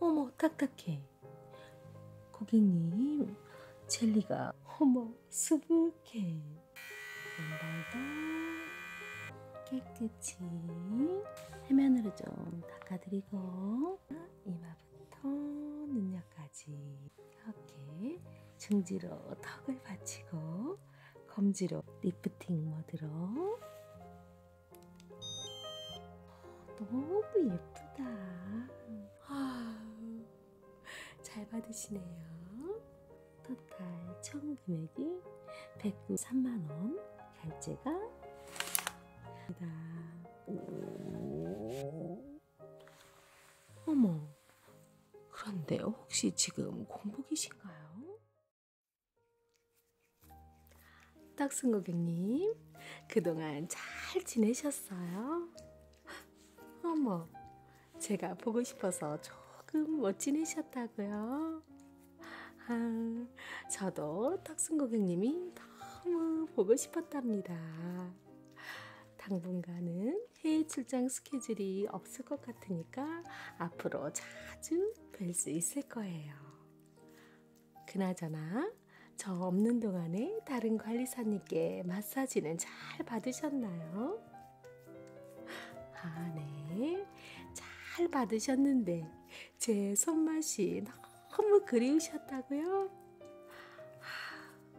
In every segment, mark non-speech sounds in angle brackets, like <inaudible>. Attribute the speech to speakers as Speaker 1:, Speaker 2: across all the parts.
Speaker 1: 어머, 딱딱해. 고객님, 젤리가 어머, 수북해. 양발도 깨끗이 해면으로 좀 닦아드리고 이마부터 눈옆까지 이렇게 중지로 턱을 받치고 검지로 리프팅 모드로 너무 예쁘다. 아, 잘 받으시네요. 토탈 총 금액이 193만원. 결제가 입니다. 어머, 그런데 혹시 지금 공복이신가요? 떡순 고객님, 그동안 잘 지내셨어요? 어머, 제가 보고 싶어서 조금 못 지내셨다고요? 아, 저도 탁순 고객님이 너무 보고 싶었답니다. 당분간은 해외 출장 스케줄이 없을 것 같으니까 앞으로 자주 뵐 수 있을 거예요. 그나저나 저 없는 동안에 다른 관리사님께 마사지는 잘 받으셨나요? 아, 네. 잘 받으셨는데 제 손맛이 너무 그리우셨다고요?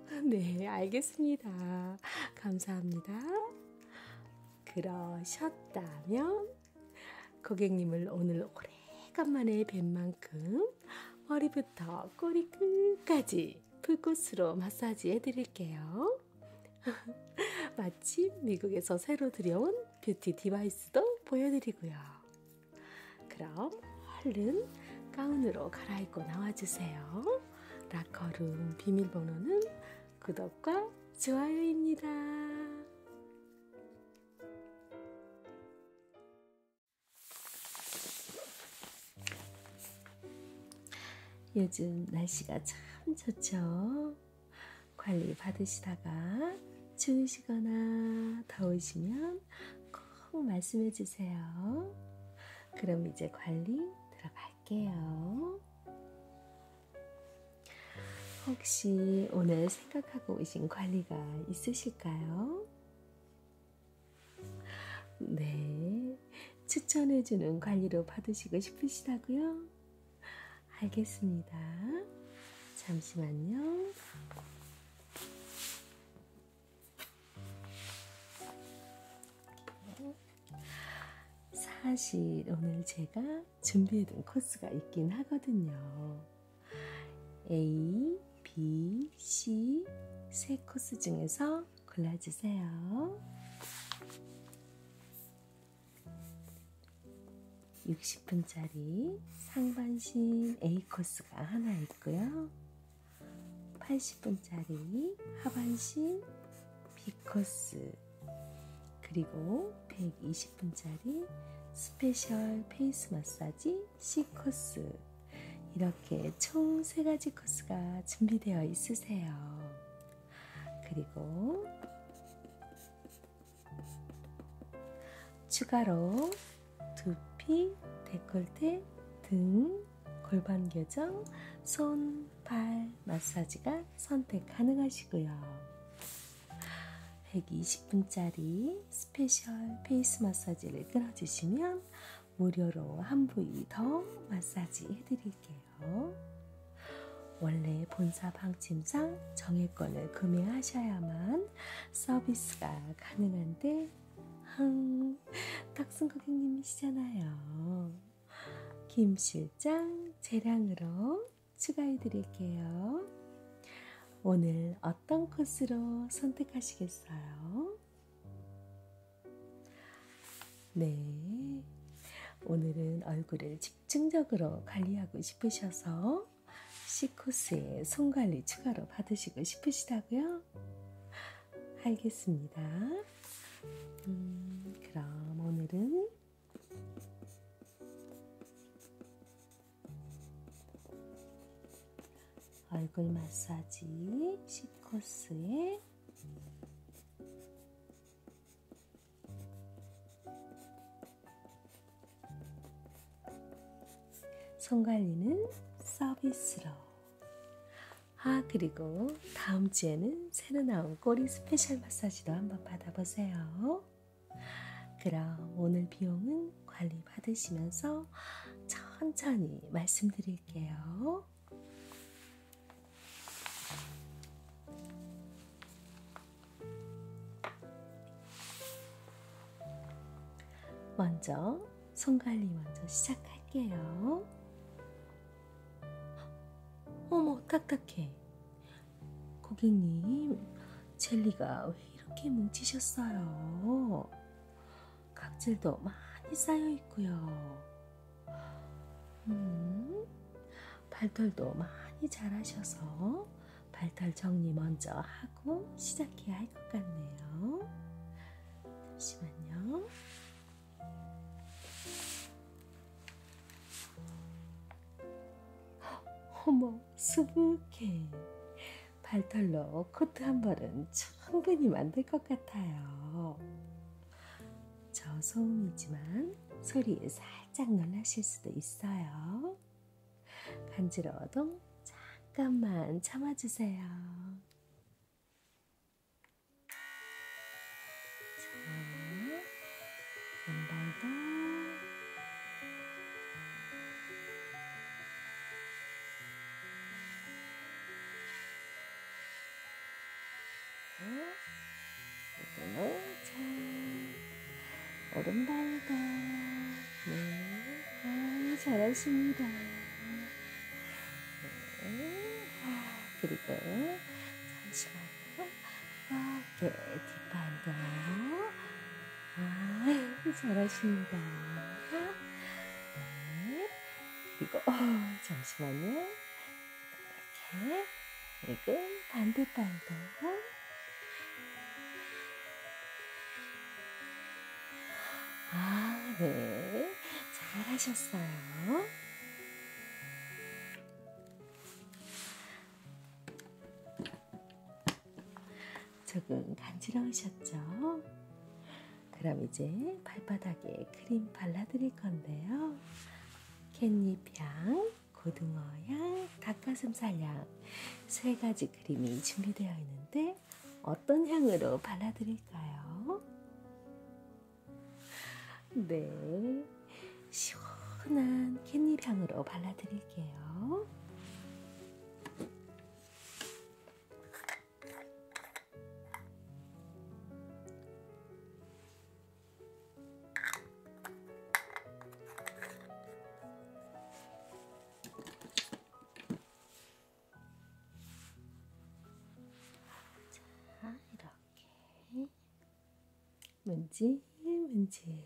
Speaker 1: 아, 네, 알겠습니다. 감사합니다. 그러셨다면 고객님을 오늘 오래간만에 뵌 만큼 머리부터 꼬리 끝까지 풀꽃으로 마사지 해드릴게요. <laughs> 마침 미국에서 새로 들여온 뷰티 디바이스도 보여드리고요. 그럼 얼른 가운으로 갈아입고 나와주세요. 라커룸 비밀번호는 구독과 좋아요입니다. 요즘 날씨가 참 좋죠. 관리 받으시다가 추우시거나 더우시면 꼭 말씀해 주세요. 그럼 이제 관리 들어갈게요. 혹시 오늘 생각하고 계신 관리가 있으실까요? 네, 추천해주는 관리로 받으시고 싶으시다고요? 알겠습니다. 잠시만요. 사실 오늘 제가 준비해둔 코스가 있긴 하거든요. A, B, C 세 코스 중에서 골라주세요. 60분짜리 상반신 A 코스가 하나 있고요. 80분짜리 하반신 B 코스 그리고 120분짜리 스페셜 페이스 마사지 C 코스 이렇게 총 세 가지 코스가 준비되어 있으세요. 그리고 추가로 두피, 데콜테, 등, 골반 교정, 손, 발 마사지가 선택 가능하시고요. 120분짜리 스페셜 페이스 마사지를 끊어주시면 무료로 한 부위 더 마사지 해드릴게요. 원래 본사 방침상 정액권을 구매하셔야만 서비스가 가능한데 음, 탁순 고객님이시잖아요. 김 실장 재량으로 추가해드릴게요. 오늘 어떤 어떤 코스로 선택하시겠어요? 네. 오늘은 얼굴을 집중적으로 관리하고 싶으셔서 C코스에 손관리 추가로 받으시고 싶으시다고요? 알겠습니다. 음, 그럼 오늘은 얼굴 마사지 시코스의 손관리는 서비스로 아 그리고 다음 주에는 새로 나온 꼬리 스페셜 마사지도 한번 받아보세요. 그럼 오늘 비용은 관리 받으시면서 천천히 말씀드릴게요. 먼저 손 관리 먼저 시작할게요. 어머, 딱딱해. 고객님, 젤리가 왜 이렇게 뭉치셨어요? 각질도 많이 쌓여 있고요. 음, 발털도 많이 자라셔서 발털 정리 먼저 하고 시작해야 할 것 같네요. 잠시만요. 어머, 수북해. 발털로 코트 한 벌은 충분히 만들 것 같아요. 저 소음이지만 소리에 살짝 놀라실 수도 있어요. 간지러워도 잠깐만 참아주세요. 자, 한번 더. 자, 얼음 발가. 네, 아, 잘하십니다. 네, 아, 그리고 잠시만요. 이렇게 아, 네, 뒷판도 아, 잘하신다. 네. 그리고, 어, 잠시만요. 이렇게. 그리고 반대팔도. 아, 네. 잘하셨어요. 조금 간지러우셨죠? 그럼 이제 발바닥에 크림 발라드릴 건데요. 캣잎향, 고등어향, 닭가슴살향 세 가지 크림이 준비되어 있는데 어떤 향으로 발라드릴까요? 네, 시원한 캣잎향으로 발라드릴게요. 자, 이렇게 문질 문질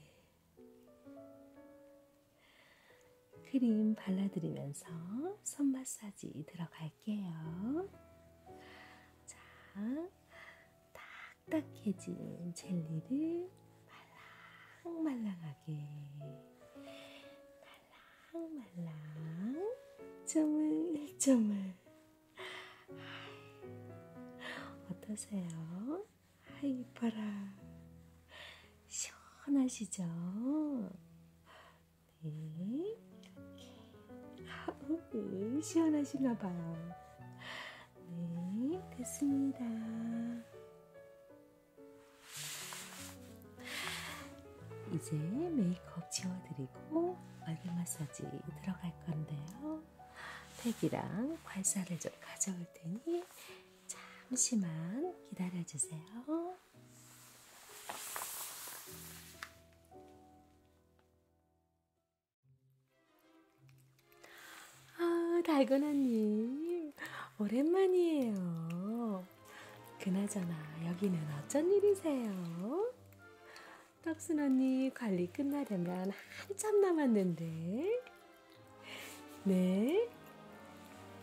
Speaker 1: 크림 발라드리면서 손 마사지 들어갈게요. 자, 딱딱해진 젤리를 말랑말랑하게 말랑말랑 조물조물 어떠세요? 아이 이뻐라 시원하시죠? 네, 이렇게. 네, 시원하시나봐요. 네, 됐습니다. 이제 메이크업 지워드리고 얼굴 마사지 들어갈 건데요. 팩이랑 괄사를 좀 가져올 테니 잠시만 기다려주세요. 아, 달고나님, 오랜만이에요. 그나저나, 여기는 어쩐 일이세요? 떡순 언니 관리 끝나려면 한참 남았는데 네.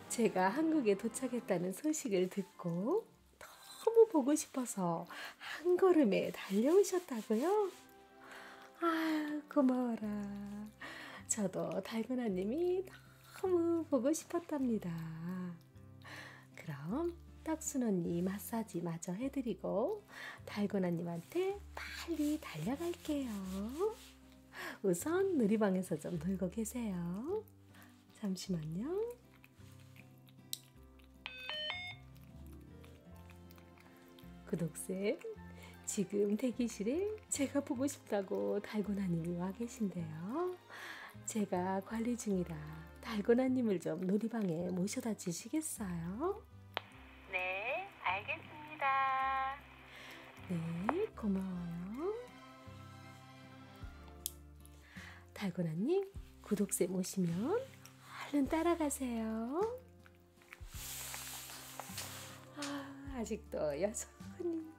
Speaker 1: 제가 한국에 도착했다는 소식을 듣고 너무 보고 싶어서 한 걸음에 달려오셨다고요? 아, 고마워라. 저도 달고나님이 너무 보고 싶었답니다. 그럼 떡순 언니 마사지 마저 해드리고 달고나님한테 빨리 달려갈게요. <laughs> 우선 놀이방에서 좀 놀고 계세요. 잠시만요. 구독쌤, 지금 대기실에 제가 보고 싶다고 달고나님이 와 계신데요. 제가 관리 중이라 달고나님을 좀 놀이방에 모셔다 주시겠어요? 네, 알겠습니다. 네, 고마워요. 달고나님, 구독쌤 오시면 얼른 따라가세요. 아, 아직도 여전히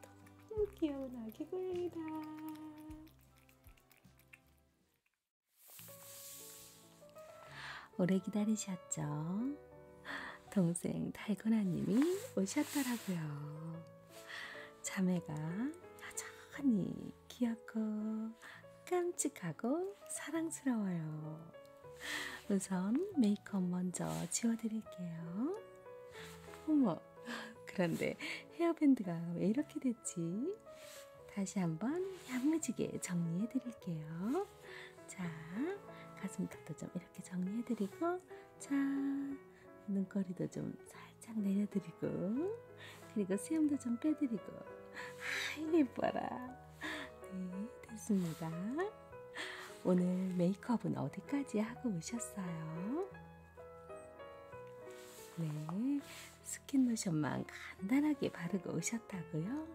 Speaker 1: 너무 귀여운 아기 고양이다. 오래 기다리셨죠? 동생 달고나님이 오셨더라고요. 자매가 여전히 귀엽고 깜찍하고 사랑스러워요. 우선 메이크업 먼저 지워드릴게요. 어머, 그런데 헤어밴드가 왜 이렇게 됐지? 다시 한번 야무지게 정리해드릴게요. 자, 가슴 털도 좀 이렇게 정리해드리고 자, 눈꼬리도 좀 살짝 내려드리고, 그리고 수염도 좀 빼드리고, 아, 예뻐라. 네, 됐습니다. 오늘 메이크업은 어디까지 하고 오셨어요? 네, 스킨로션만 간단하게 바르고 오셨다고요?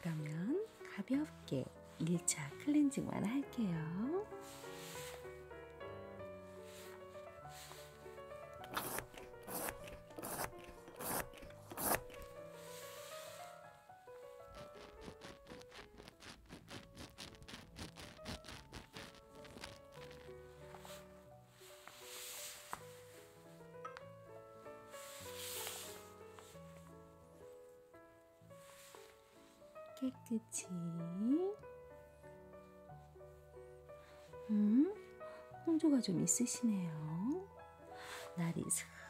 Speaker 1: 그러면 가볍게 1차 클렌징만 할게요. 깨끗이 음, 홍조가 좀 있으시네요. 날이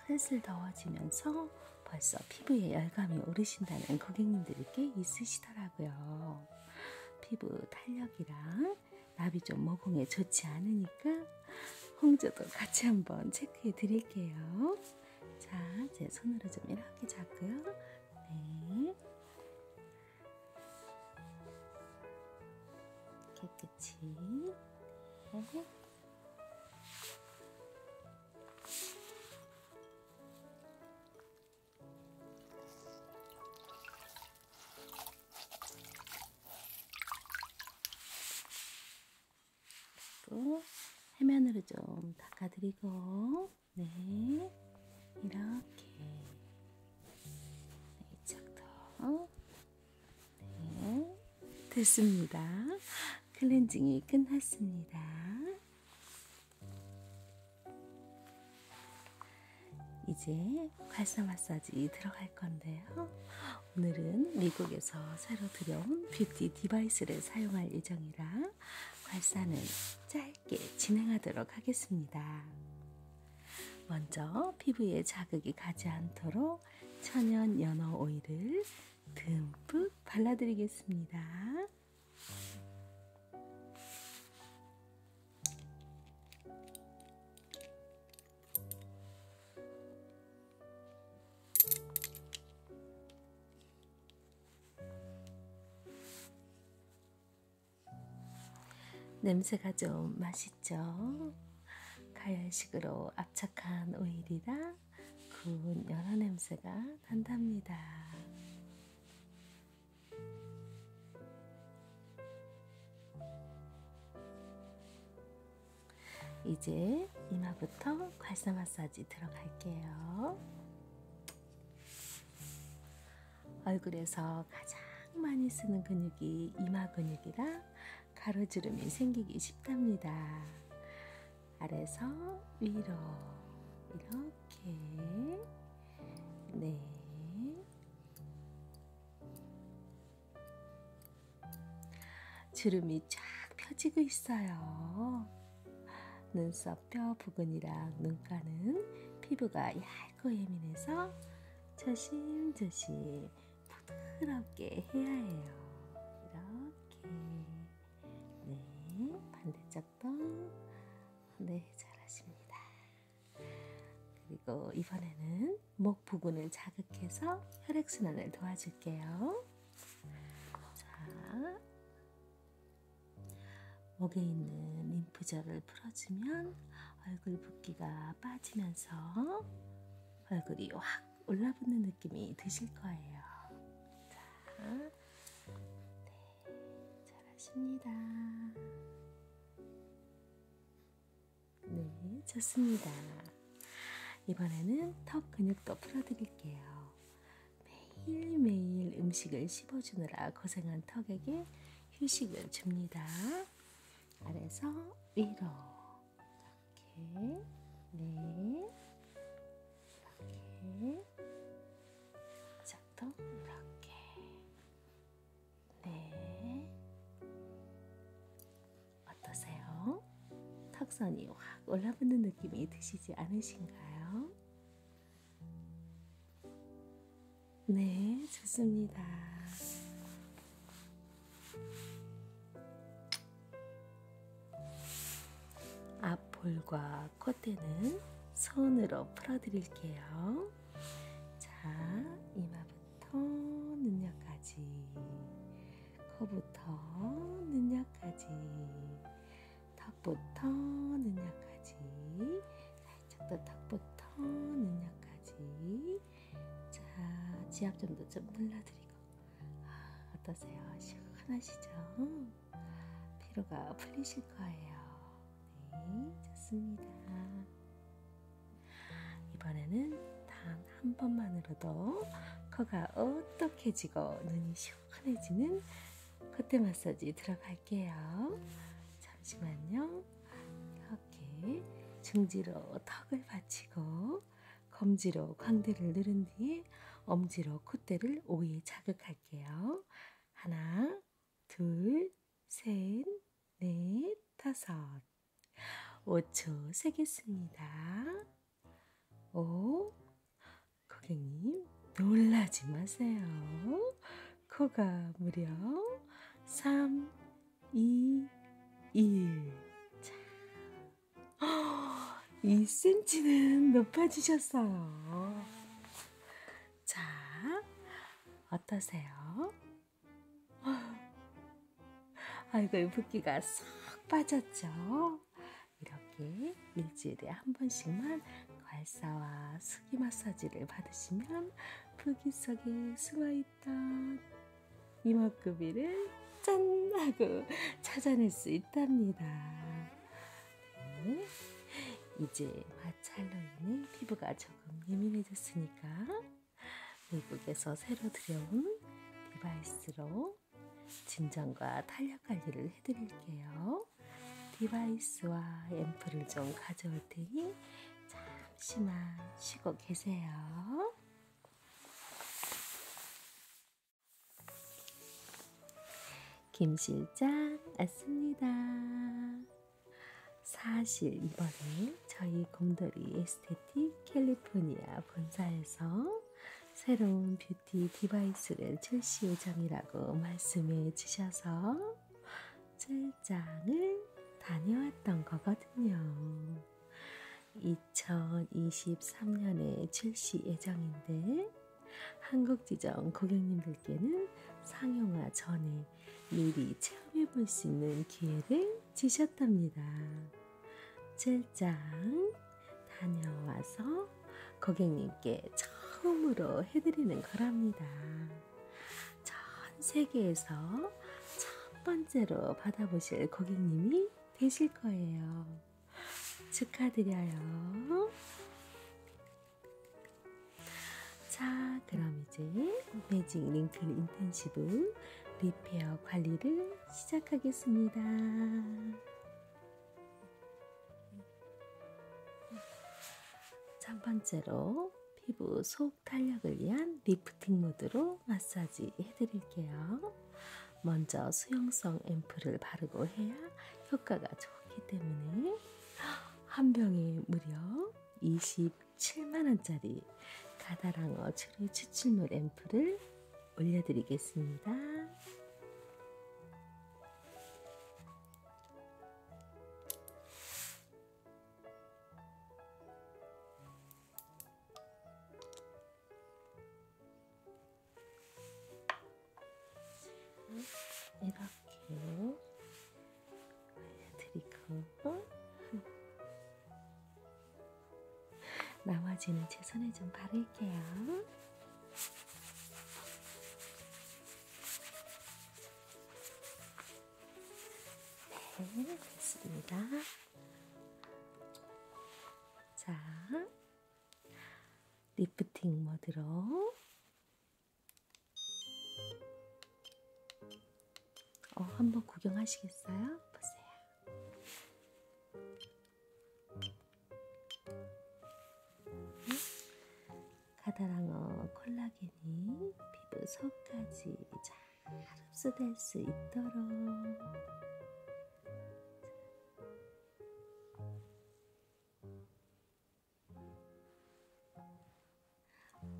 Speaker 1: 슬슬 더워지면서 벌써 피부에 열감이 오르신다는 고객님들이 꽤 있으시더라고요. 피부 탄력이랑 나비 좀 모공에 좋지 않으니까 홍조도 같이 한번 체크해 드릴게요. 자, 제 손으로 좀 이렇게 잡고요. 네. 깨끗이. 네. 해면으로 좀 닦아드리고 네, 이렇게 네, 이쪽도 네, 됐습니다. 클렌징이 끝났습니다. 이제 괄사 마사지 들어갈 건데요. 오늘은 미국에서 새로 들여온 뷰티 디바이스를 사용할 예정이라 괄사는 짧 짧게 진행하도록 하겠습니다. 먼저 피부에 자극이 가지 않도록 천연 연어 오일을 듬뿍 발라드리겠습니다. 냄새가 좀 맛있죠? 가열식으로 압착한 오일이라 구운 연어 냄새가 난답니다. 이제 이마부터 괄사 마사지 들어갈게요. 얼굴에서 가장 많이 쓰는 근육이 이마 근육이라 가로주름이 생기기 쉽답니다. 아래서 위로 이렇게 네. 주름이 쫙 펴지고 있어요. 눈썹 뼈 부근이랑 눈가는 피부가 얇고 예민해서 조심조심 부드럽게 해야 해요. 이렇게 네 반대쪽도 네 잘하십니다. 그리고 이번에는 목 부근을 자극해서 혈액순환을 도와줄게요. 자, 목에 있는 림프절을 풀어주면 얼굴 붓기가 빠지면서 얼굴이 확 올라붙는 느낌이 드실 거예요. 자, 네, 잘하십니다. 네, 좋습니다. 이번에는 턱 근육도 풀어드릴게요. 매일매일 음식을 씹어주느라 고생한 턱에게 휴식을 줍니다. 아래서 위로 이렇게 네 이렇게 시작도 이렇게 네 어떠세요? 턱선이 확 올라붙는 느낌이 드시지 않으신가요? 네, 좋습니다. 앞볼과 콧대는 손으로 풀어드릴게요. 자, 이마부터 눈옆까지, 코부터 눈옆까지, 턱부터 눈썹까지 살짝 더 턱부터 눈썹까지 자 지압점도 좀 눌러드리고 아, 어떠세요? 시원하시죠? 피로가 풀리실 거예요. 네 좋습니다. 이번에는 단 한 번만으로도 코가 어떻게 지고 눈이 시원하게 시원해지는 콧대 마사지 들어갈게요. 잠시만요. 이렇게 중지로 턱을 받치고 검지로 광대를 누른 뒤에 엄지로 콧대를 5회 자극할게요. 하나, 둘, 셋, 넷, 다섯. 5초 세겠습니다. 5, 고객님, 놀라지 마세요. 코가 무려 3, 2, 1. 자, 2cm는 <gasps> 높아지셨어요. 자, 어떠세요? <gasps> 아이고, 붓기가 쏙 빠졌죠? 이렇게 일주일에 한 번씩만 괄사와 스기 마사지를 받으시면 불기석에 숨어있던 이목구비를 짠! 하고 찾아낼 수 있답니다. 네. 이제 마찰로 인해 피부가 조금 예민해졌으니까 미국에서 새로 들여온 디바이스로 진정과 탄력 관리를 해드릴게요. 있고요. 디바이스와 앰플을 좀 가져올 테니 잠시만 쉬고 계세요. 김실장 왔습니다. 사실 이번에 저희 곰돌이 에스테틱 캘리포니아 본사에서 새로운 뷰티 디바이스를 출시 예정이라고 말씀해 주셔서 출장을 다녀왔던 거거든요. 2023년에 출시 예정인데 한국지점 고객님들께는 상용화 전에 미리 체험해 볼 수 있는 기회를 주셨답니다. 출장 다녀와서 고객님께 처음으로 해드리는 거랍니다. 전 세계에서 첫 번째로 받아보실 고객님이 되실 거예요. 축하드려요. 자, 그럼 이제 매직 링클 인텐시브 리페어 관리를 시작하겠습니다. 첫 번째로 피부 속 탄력을 위한 리프팅 무드로 마사지 해드릴게요. 먼저 수용성 앰플을 바르고 해야 효과가 좋기 때문에 한 병에 무려 27만원짜리 가다랑어 추리 추출물 앰플을 올려드리겠습니다. 이렇게 알려드리고 나머지는 제 손에 좀 바를게요. 네, 됐습니다. 자, 리프팅 모드로 어, 한번 구경하시겠어요? 보세요. 가다랑어 콜라겐이 피부 속까지 잘 흡수될 수 있도록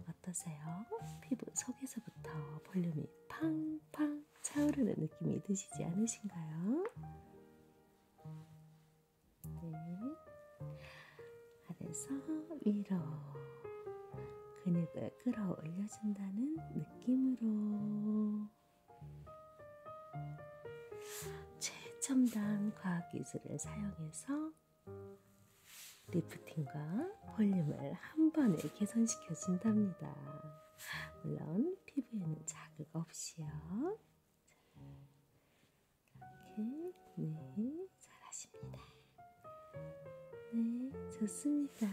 Speaker 1: 어떠세요? 피부 속에서부터 볼륨이 팡팡 차오르는 느낌이 드시지 않으신가요? 네. 아래서 위로 근육을 끌어올려준다는 느낌으로 최첨단 과학기술을 사용해서 리프팅과 볼륨을 한 번에 개선시켜 준답니다. 물론 피부에는 자극 없이요. 이렇게 네, 네 잘하십니다. 네 좋습니다.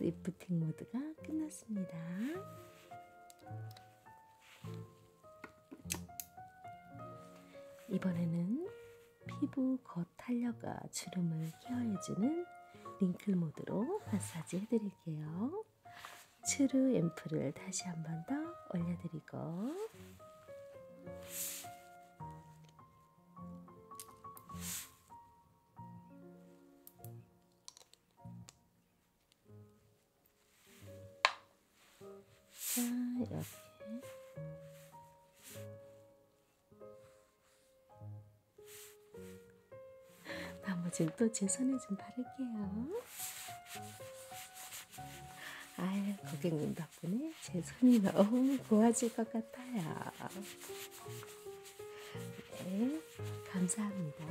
Speaker 1: 리프팅 모드가 끝났습니다. 이번에는 피부 겉탄력과 주름을 케어해주는 링클 모드로 마사지 해드릴게요. 츄르 앰플을 다시 한 번 더 올려드리고 자, 이렇게. <laughs> 나머지는 또제 손에 좀 바를게요. 아유, 고객님 덕분에 제 손이 너무 고와질 것 같아요. 네, 감사합니다.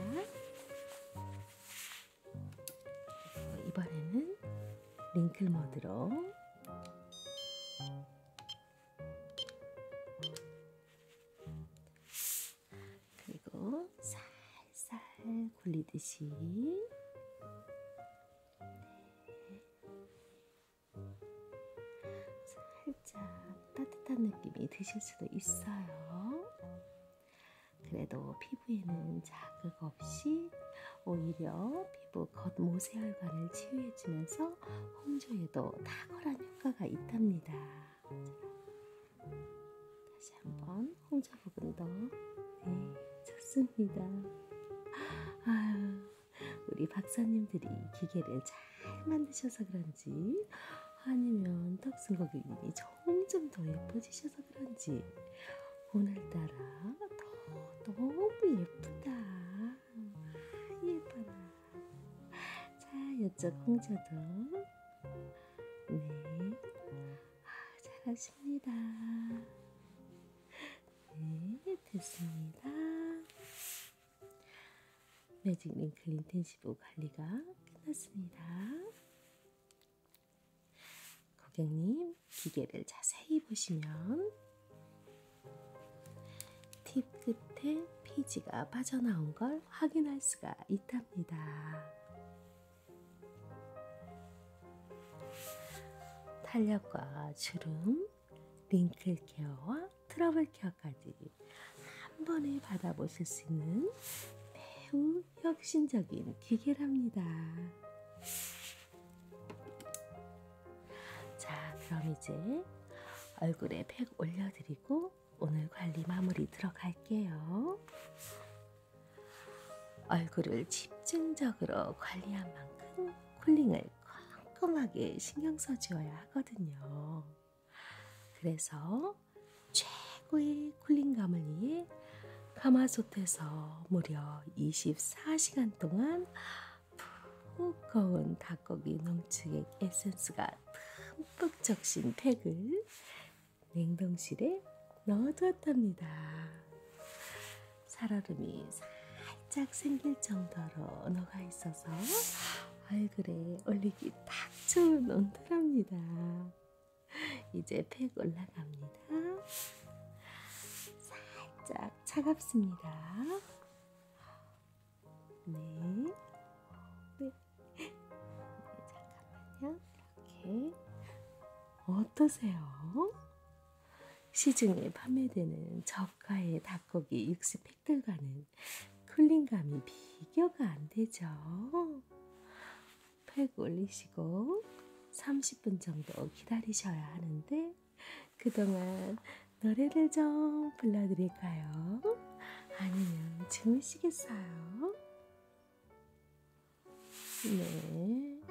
Speaker 1: 이번에는 링클 모드로 그리고 살짝 살살 굴리듯이 네. 살짝 따뜻한 느낌이 드실 수도 있어요. 그래도 피부에는 자극 없이 오히려 피부 겉모세 혈관을 치유해주면서 홍조에도 탁월한 효과가 있답니다. 자, 다시 한번 홍자버금도 네, 좋습니다. 아유, 우리 박사님들이 기계를 잘 만드셔서 그런지 아니면 턱순 고객님이 점점 더 예뻐지셔서 그런지 오늘따라 더 너무 예쁘다. 아, 예뻐라. 자, 이쪽 홍자도 네. 아, 잘하십니다. 네, 됐습니다. 매직 링클 인텐시브 관리가 끝났습니다. 고객님, 기계를 자세히 보시면 팁 끝에 피지가 빠져나온 걸 확인할 수가 있답니다. 탄력과 주름, 링클 케어와 트러블 케어까지 한 번에 받아보실 수 있는 매우 혁신적인 기계랍니다. 자, 그럼 이제 얼굴에 팩 올려드리고 오늘 관리 마무리 들어갈게요. 얼굴을 집중적으로 관리한 만큼 쿨링을 꼼꼼하게 신경 써주어야 하거든요. 그래서 최고의 쿨링감을 위해 가마솥에서 무려 24시간 동안 푹 거운 닭고기 농축액 에센스가 듬뿍 적신 팩을 냉동실에 넣어두었답니다. 살얼음이 살짝 생길 정도로 녹아 있어서 얼굴에 올리기 딱 좋은 온도랍니다. 이제 팩 올라갑니다. 살짝 차갑습니다. 네. 네. 네 잠깐만요. 이렇게. 어떠세요? 시중에 판매되는 저가의 닭고기 육수 팩들과는 쿨링감이 비교가 안 되죠. 팩 올리시고 30분 정도 기다리셔야 하는데 그동안 노래를 좀 불러드릴까요? 아니면 주무시겠어요? 네,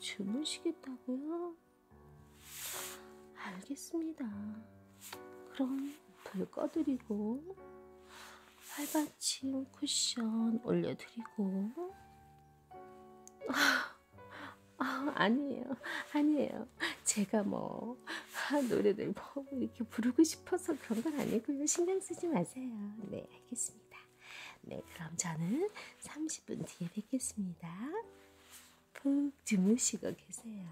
Speaker 1: 주무시겠다고요? 알겠습니다. 그럼 불 꺼드리고 팔받침 쿠션 올려드리고 아, 아니에요, 아니에요. 제가 뭐 아, 노래를 뭐 이렇게 부르고 싶어서 그런 건 아니고요. 신경 쓰지 마세요. 네, 알겠습니다. 네, 그럼 저는 30분 뒤에 뵙겠습니다. 푹 주무시고 계세요.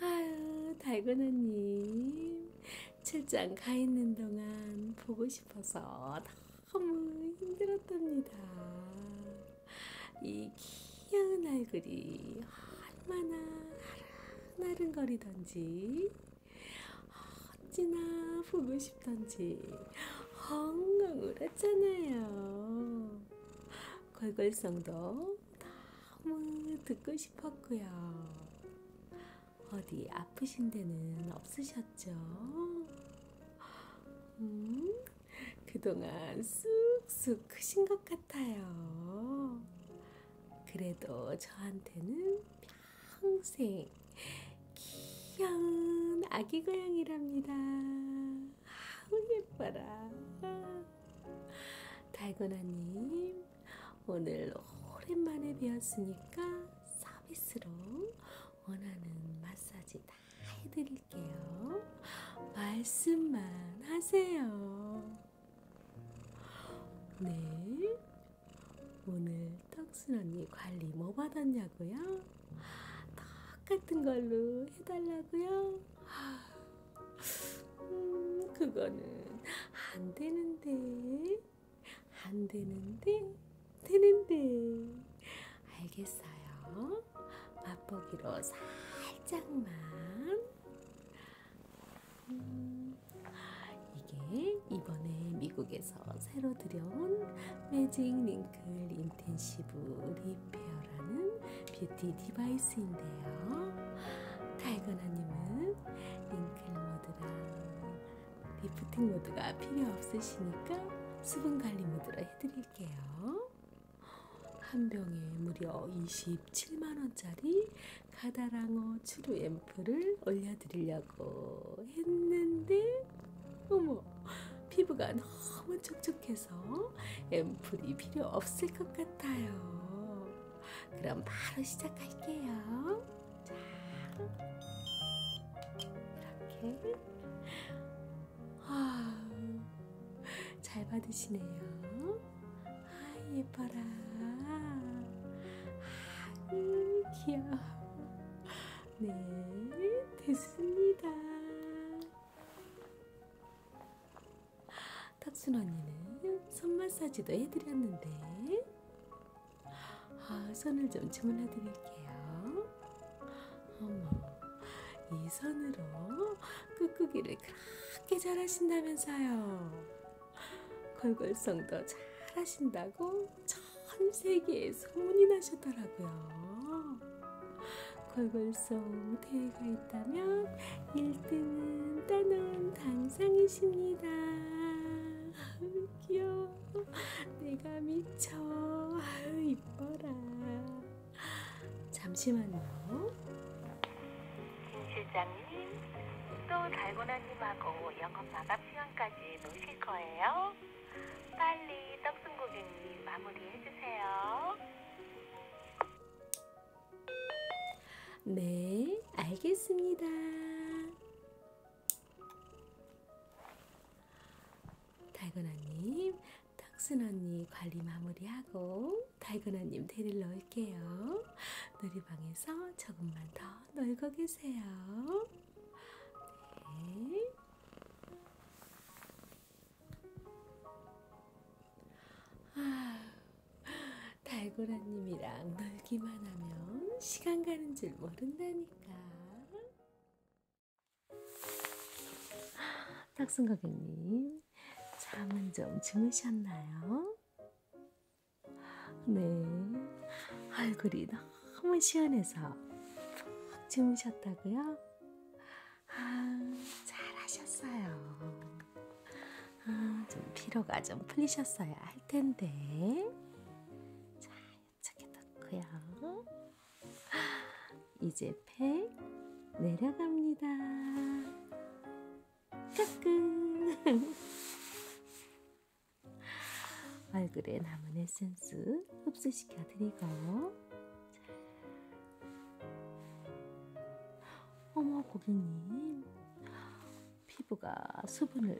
Speaker 1: 아유, 달고나님. 출장 가 있는 동안 보고 싶어서 너무 힘들었답니다. 이 귀여운 얼굴이 얼마나 나른거리던지 어찌나 보고 싶던지 엉엉 울었잖아요. 골골성도 너무 듣고 싶었고요. 어디 아프신 데는 없으셨죠? 음, 그동안 쑥쑥 크신 것 같아요. 그래도 저한테는 평생 귀여운 아기 고양이랍니다. 아우 예뻐라. 달고나님 오늘 오랜만에 뵈었으니까 서비스로 원하는 마사지 다 해드릴게요. 말씀만 하세요. 네. 오늘 턱순 언니 관리 뭐 받았냐고요? 똑같은 걸로 해달라고요? 음, 그거는 안 되는데. 안 되는데. 되는데. 알겠어요. 맛보기로 살짝만. 음, 이게 이번에 미국에서 새로 들여온 매직 링클 인텐시브 리페어라는 뷰티 디바이스인데요. 달건아님은 링클 모드랑 리프팅 모드가 필요 없으시니까 수분 관리 모드로 해드릴게요. 한 병에 무려 27만원짜리 가다랑어 추루 앰플을 올려드리려고 했는데 어머 피부가 너무 촉촉해서 앰플이 필요 없을 것 같아요. 그럼 바로 시작할게요. 자, 이렇게 아, 잘 받으시네요. 아 예뻐라 아 귀여워 네 됐습니다 탁순 언니는 손 마사지도 해드렸는데 아 손을 좀 주문해 드릴게요 어머 이 손으로 꾹꾹이를 그렇게 잘하신다면서요 걸걸성도 잘하신다고 전 세계에 소문이 나셨더라고요. 걸걸성 대회가 있다면 1등은 따놓은 당상이십니다. 귀여워. 내가 미쳐. 아유, 이뻐라. 잠시만요. 김 실장님, 또 달고나님하고 영업 마감 시간까지 노실 거예요? 빨리 떡순 고객님 마무리해주세요. 네, 알겠습니다. 달고나님, 떡순 언니 관리 마무리하고 달고나님 데리러 놓을게요. 놀이방에서 조금만 더 놀고 계세요. 네. 아, 달고라님이랑 놀기만 하면 시간 가는 줄 모른다니까. 탁순 고객님, 잠은 좀 주무셨나요? 네, 얼굴이 너무 시원해서 푹 주무셨다고요? 아, 잘하셨어요. 아, 좀 피로가 좀 풀리셨어야 할 텐데. 자, 이쪽에 넣고요. 이제 팩 내려갑니다. 까끔 <laughs> 얼굴에 남은 에센스 흡수시켜 드리고 어머 고객님 피부가 수분을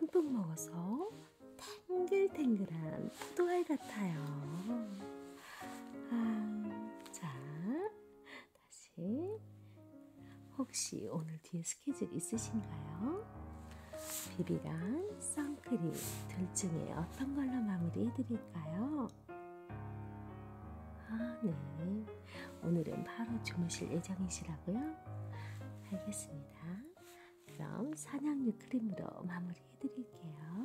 Speaker 1: 듬뿍 먹어서 탱글탱글한 포도알 같아요. 아, 자, 다시 혹시 오늘 뒤에 스케줄 있으신가요? 비비랑 선크림 둘 중에 어떤 걸로 마무리해드릴까요? 아, 네. 오늘은 바로 주무실 예정이시라고요? 알겠습니다. 그럼 산양유 크림으로 마무리해드릴게요.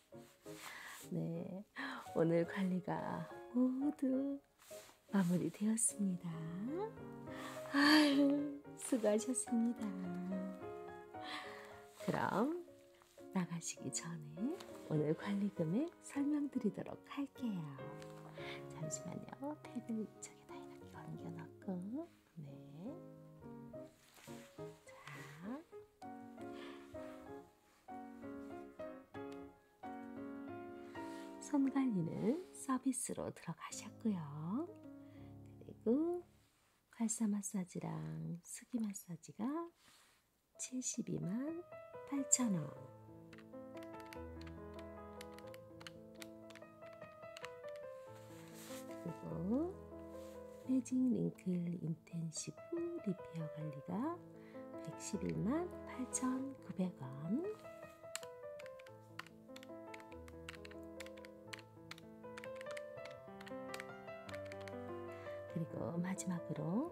Speaker 1: 네, 오늘 관리가 모두 마무리되었습니다. 아유, 수고하셨습니다. 그럼 나가시기 전에 오늘 관리 금액 설명드리도록 할게요. 잠시만요. 팩을 이쪽에다 이렇게 옮겨놓고 네. 자, 손 관리는 서비스로 들어가셨고요. 그리고 괄사 마사지랑 스기 마사지가 72만 8천원 그리고 매직 링클 인텐시브 리페어 관리가 111만 8,900원 그리고 마지막으로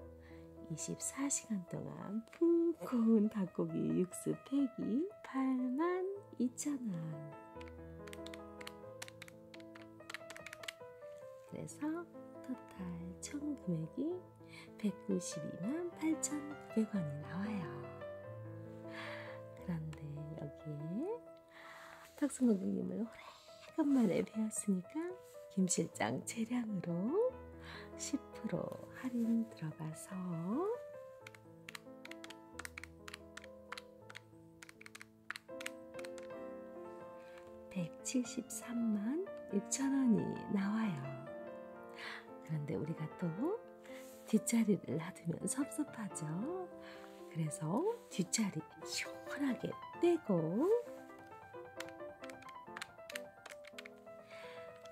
Speaker 1: 24시간 동안 푹 고운 닭고기 육수 팩이 8만 2천원 그래서 토탈 총 금액이 192만 8,900원이 나와요. 그런데 여기에 탁수 고객님을 오래간만에 배웠으니까 김실장 재량으로 10% 할인 들어가서 1,990원 173만 6천원이 나와요. 그런데 우리가 또 뒷자리를 놔두면 섭섭하죠. 그래서 뒷자리 시원하게 떼고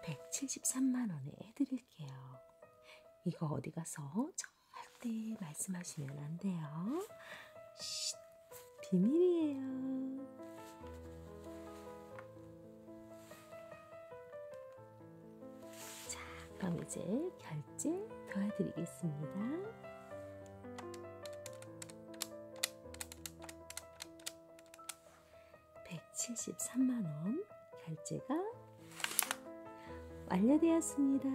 Speaker 1: 173만원에 해드릴게요. 이거 어디 가서 절대 말씀하시면 안 돼요. 쉿. 비밀이에요. 자, 그럼 이제 결제 도와드리겠습니다. 칠십삼만원 결제가 완료되었습니다.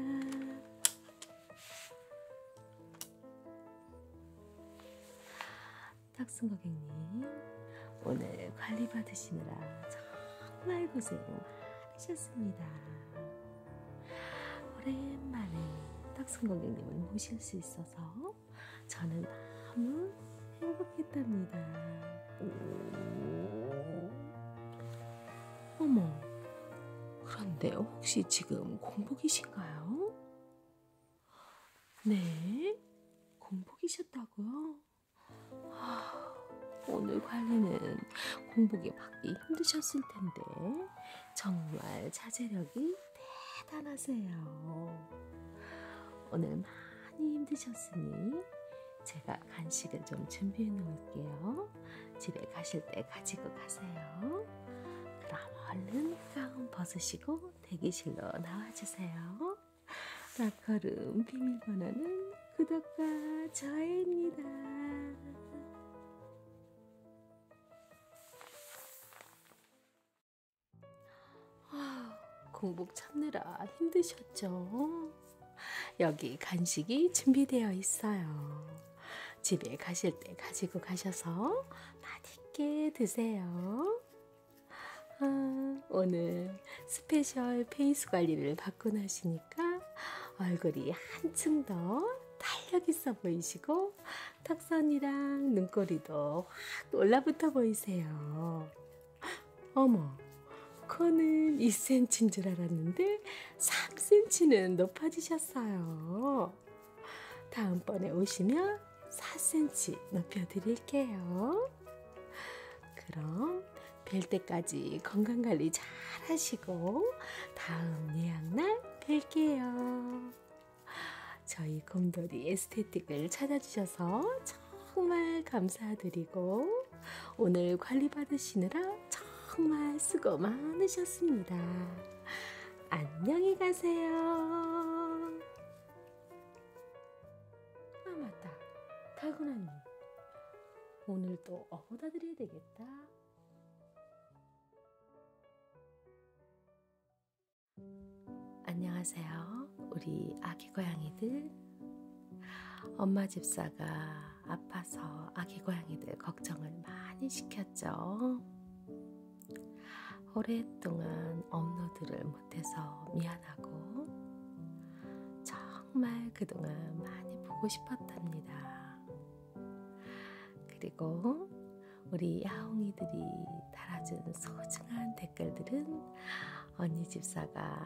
Speaker 1: 탁순 고객님, 오늘 관리 받으시느라 정말 고생 하셨습니다. 오랜만에 탁순 고객님을 모실 수 있어서 저는 너무 행복했답니다. 어머, 그런데 혹시 지금 공복이신가요? 네, 공복이셨다고요? 아, 오늘 관리는 공복이 받기 힘드셨을 텐데 정말 자제력이 대단하세요. 오늘 많이 힘드셨으니 제가 간식을 좀 준비해 놓을게요. 집에 가실 때 가지고 가세요. 그럼 얼른 가운 벗으시고 닫고 대기실로 나와주세요. 락커룸 비밀번호는 구독과 좋아요입니다. 공복 참느라 힘드셨죠? 여기 간식이 준비되어 있어요. 집에 가실 때 가지고 가셔서 맛있게 드세요. 아, 오늘 스페셜 페이스 관리를 받고 나시니까 얼굴이 한층 더 탄력 있어 보이시고 턱선이랑 눈꼬리도 확 올라붙어 보이세요. 어머, 코는 2cm인 줄 알았는데 3cm는 높아지셨어요. 있고요. 다음번에 오시면 4cm 높여드릴게요. 그럼 뵐 때까지 건강관리 잘 하시고 다음 예약날 뵐게요. 저희 곰돌이 에스테틱을 찾아주셔서 정말 감사드리고 오늘 관리받으시느라 정말 수고 많으셨습니다. 안녕히 가세요. 아 맞다 타고난 입 오늘 또 업어다 드려야 되겠다 안녕하세요 우리 아기 고양이들 엄마 집사가 아파서 아기 고양이들 걱정을 많이 시켰죠 오랫동안 업로드를 못해서 미안하고 정말 그동안 많이 보고 싶었답니다. 그리고 우리 야옹이들이 달아준 소중한 댓글들은 언니 집사가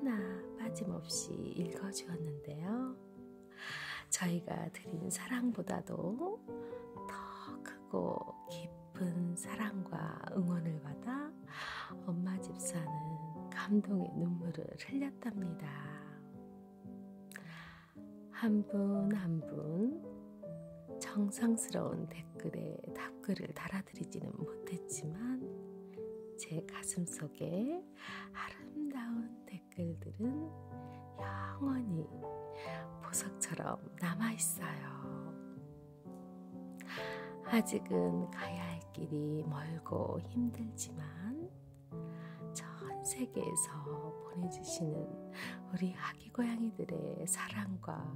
Speaker 1: 하나하나 빠짐없이 읽어주었는데요. 저희가 드린 사랑보다도 더 크고 깊은 사랑과 응원을 받아 엄마 집사는 감동의 눈물을 흘렸답니다. 한 분 한 분 정성스러운 댓글에 답글을 달아드리지는 못했지만 제 가슴 속에 아름다운 댓글들은 영원히 보석처럼 것처럼 남아있어요. 아직은 가야 할 길이 멀고 힘들지만 전 세계에서 보내주시는 우리 아기 고양이들의 사랑과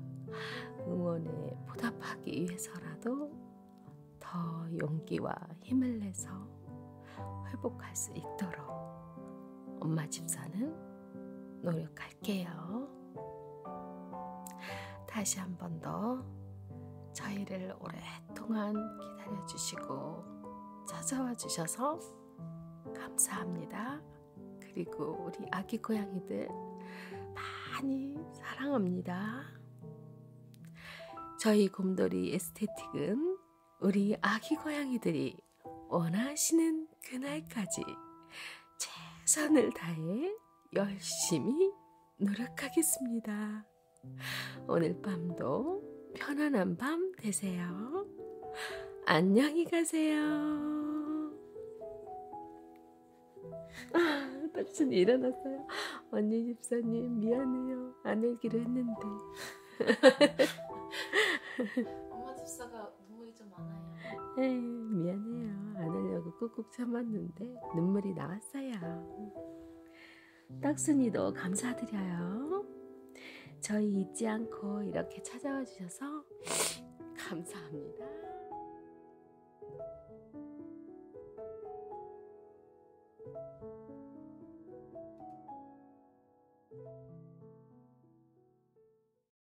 Speaker 1: 응원에 보답하기 위해서라도 더 용기와 힘을 내서 회복할 수 있도록 엄마 집사는 노력합니다. 갈게요. 다시 한 번 더 저희를 오랫동안 기다려주시고 찾아와 주셔서 감사합니다. 그리고 우리 아기 고양이들 많이 사랑합니다. 저희 곰돌이 에스테틱은 우리 아기 고양이들이 원하시는 그날까지 최선을 다해 열심히 노력하겠습니다. 오늘 밤도 편안한 밤 되세요. 안녕히 가세요. 아, 딱순이 일어났어요. 언니 집사님 미안해요. 안 읽기로 했는데. 엄마 집사가 눈물이 좀 많아요. 에이, 미안해요. 안 하려고 꾹꾹 참았는데 눈물이 나왔어요. 떡순이도 감사드려요. 저희 잊지 않고 이렇게 찾아와 주셔서 감사합니다.